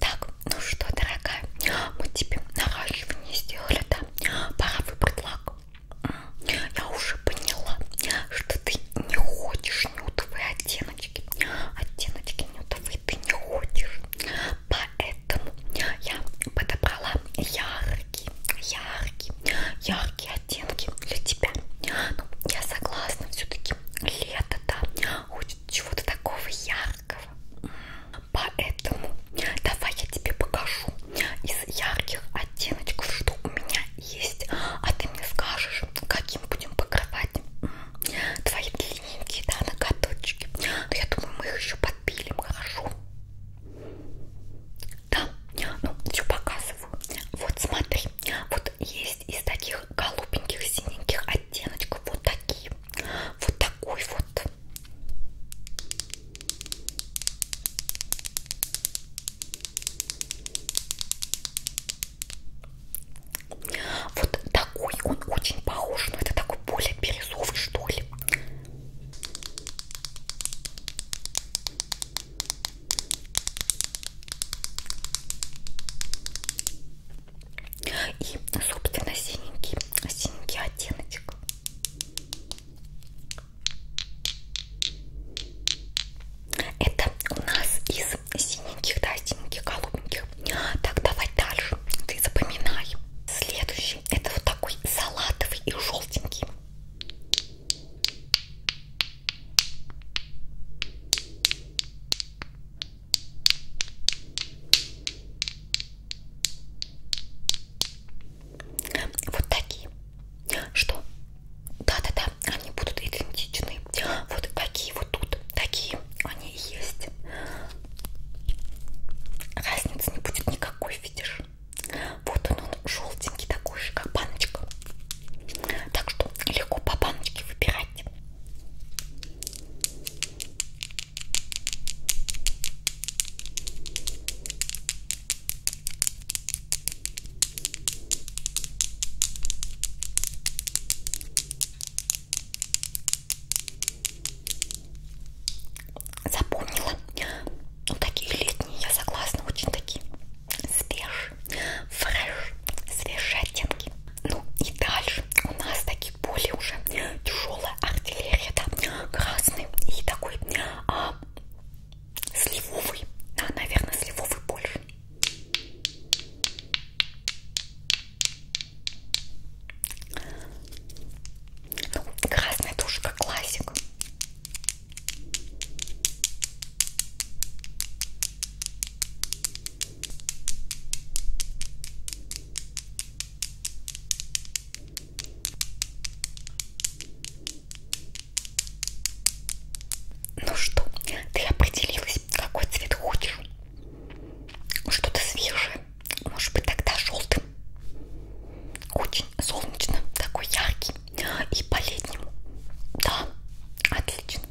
Так, ну что, дорогая, мы тебе наращивание сделали, да? Пора выбрать лак. Я уже поняла, что ты не хочешь нюдовые оттеночки. Оттеночки нюдовые ты не хочешь. Поэтому я подобрала яркие, яркие, яркие оттенки для тебя. Ну, я согласна, все-таки лето, да, хочет чего-то такого яркого яркого. Поэтому давай я тебе покажу из ярких оттеночков, что у меня есть. А ты мне скажешь, каким будем покрывать твои длинненькие, да, ноготочки. Но ну, я думаю, мы их еще подпилим, хорошо? Да, ну, все показываю. Вот смотри, вот есть из таких голубеньких, синеньких оттеночков вот такие вот такой вот. Вот такой он очень похож, но это такой более бирюзовый, что ли. И, собственно, синенький, синенький оттеночек. Это у нас из синеньких, да, синеньких, голубеньких. Так, давай дальше. Ты запоминай. Следующий. Это вот такой салатовый и желтенький. Вот такие. Что? Да-да-да, они будут идентичны. Вот какие вот тут, такие они и есть. Разницы не будет никакой, видишь? Вот он, он желтенький такой же, как баночка. Так что легко по баночке выбирать. Запомнила. Ну, такие летние, я согласна, очень такие свежие, фреш, свежие оттенки. Ну и дальше у нас такие более уже тяжелая артиллерия, да, красный и такой а, сливовый, да, наверное, сливовый больше. Ну, красная тоже как классик. Ну что, ты определилась, какой цвет хочешь? Что-то свежее, может быть тогда желтым. Очень солнечно, такой яркий и по-летнему. Да, отлично.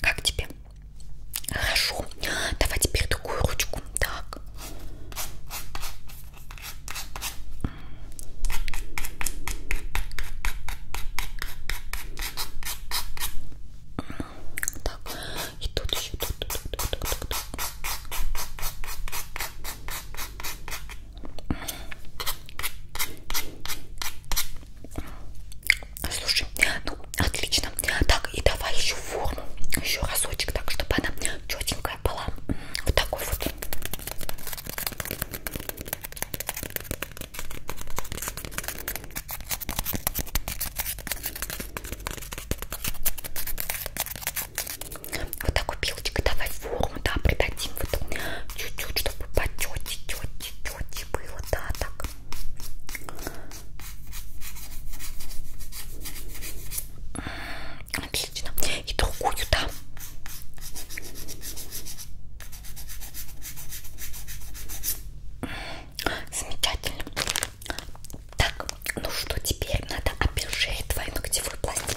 Как тебе? Хорошо. Давай теперь другую ручку. Так. Так, и тут еще, тут, тут, тут, тут, тут, тут. Слушай, ну отлично. Так, и давай еще форму. Еще разочек, так, чтобы она четенькая была. Вот такой вот. Вот такой пилочкой давай форму, да, придадим вот чуть-чуть, чтобы по тете, тете, тете было, да, так. Отлично. И другую, да. Замечательно. Так, ну что, теперь надо обезжирить твою ногтевую пластинку.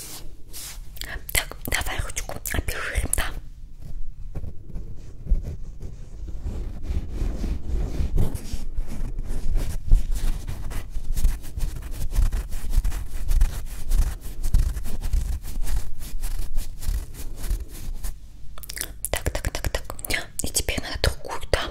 Так, давай ручку обижим, да. Так, так, так, так. И теперь надо другую, да.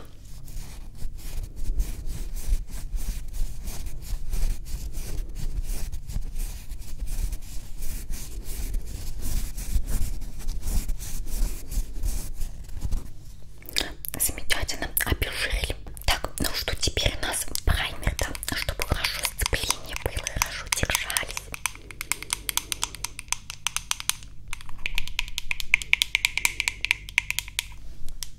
Замечательно, обезжирили. Так, ну что теперь у нас праймер, да, чтобы хорошо сцепление было, хорошо держались.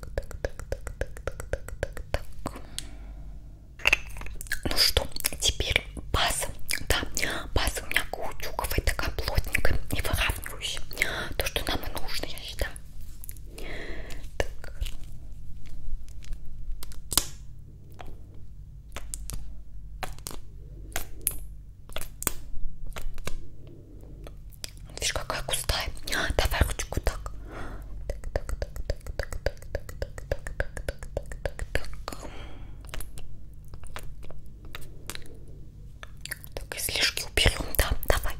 так, так, так, так, так, так, так. Ну что, теперь база. Да, база у меня каучуковая, такая плотненькая и выравнивающая. То, что нам и нужно, я считаю. Так. Так. Видишь, какая густая. Давай ручку так. Так, так, так, так, так, так, так, так, так, так, так, так, так. Так, излишки уберем, да, давай.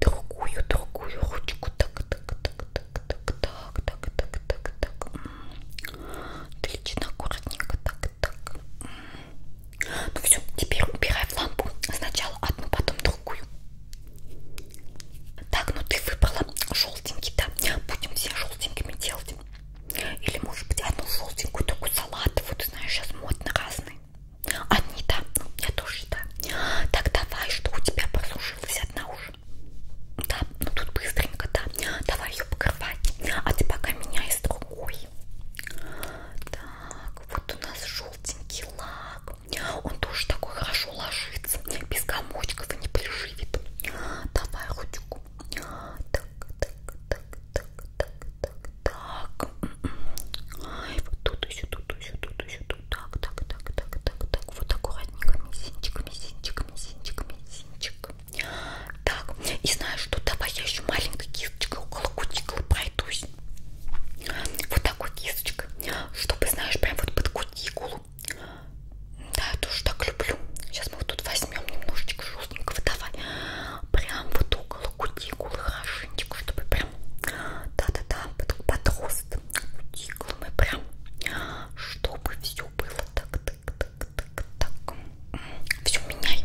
Другую, другую ручку. Так, так, так, так, так, так, так, так, так, так. Отлично, аккуратненько, так, так. Ну все, теперь убирай в лампу. Сначала одну, потом другую. Так, ну ты выбрала желтенький, да? Будем все желтенькими делать. Или может быть одну желтенькую, такую салатовую, ты знаешь, сейчас модно разные. Одни, да? Ну, я тоже, да. Так, давай, что у тебя прослужилась одна уже. Да, ну тут быстренько, да. Давай ее покрывать. А ты пока меняй с другой. Так, вот у нас желтенький лак. Он тоже такой хорошо ложится. Без комочков и не приживет. Давай ручку. Так, так, так, так, так, так, так. Ай, вот тут еще, тут еще, тут еще, тут. Так, так, так, так, так, так. Вот аккуратненько. Мизинчик, мизинчик, мизинчик, мизинчик. Так, и знаешь что? Давай я еще маленькой кисточкой около кутикулы пройдусь вот такой кисточкой, чтобы, знаешь, прям вот под кутикулу. Да, я тоже так люблю. Сейчас мы вот тут возьмем немножечко жестенького, давай. Прям вот около кутикулы хорошенечко, чтобы прям, да-да-да, под, под рост кутикулы мы прям, чтобы все было так-так-так-так-так. Все меняй.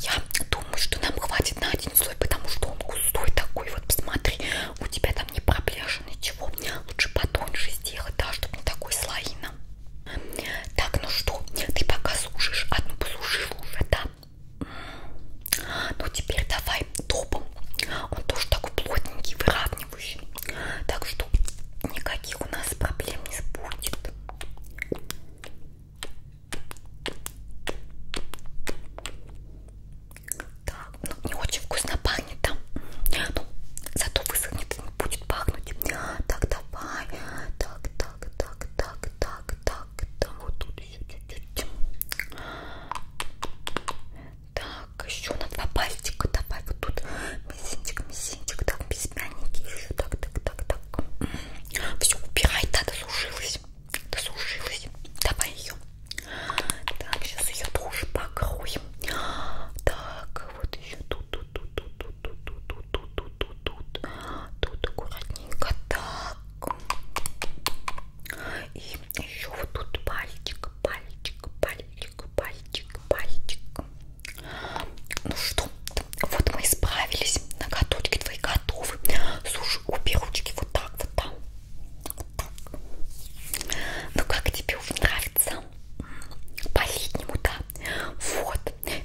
Я думаю, что нам хватит на один слой, потому что он густой такой. Вот посмотри, у тебя там не проблешено ничего. Лучше потоньше сделать, да, чтобы не такой слоина. Так, ну что, ты пока сушишь, одну а посушила уже, да? Ну теперь давай топом. Он тоже такой плотненький, выравнивающий. Так что никаких у нас проблем не будет. Так, ну не очень вкусно пахнет там. Ну, зато высохнет и не будет пахнуть. Так, давай. Так, так, так, так, так, так. Там вот тут еще чуть-чуть. Так, еще на два пальчика. Давай вот тут. Мизинчик, мизинчик. Так, без еще так, так, так, так. Все, убирай, да, досушилась. Досушилась. Давай ее. Так, сейчас ее тоже покроем. Так, вот еще тут, тут, тут, тут, тут, тут, тут, тут, тут, тут, тут. Тут аккуратненько. Так. И еще вот тут пальчик, пальчик, пальчик, пальчик, пальчик. Ну что, вот мы исправились. Ноготочки твои готовы. Слушай, обе ручки вот так, вот там. Вот так. Ну как тебе уже нравится? По-летнему, да. Вот.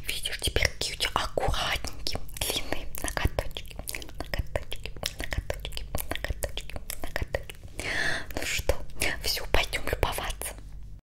Видишь, теперь какие у тебя аккуратненькие, длинные ноготочки. Ноготочки, ноготочки, ноготочки, ноготочки. Ну что, все, пойдем любоваться.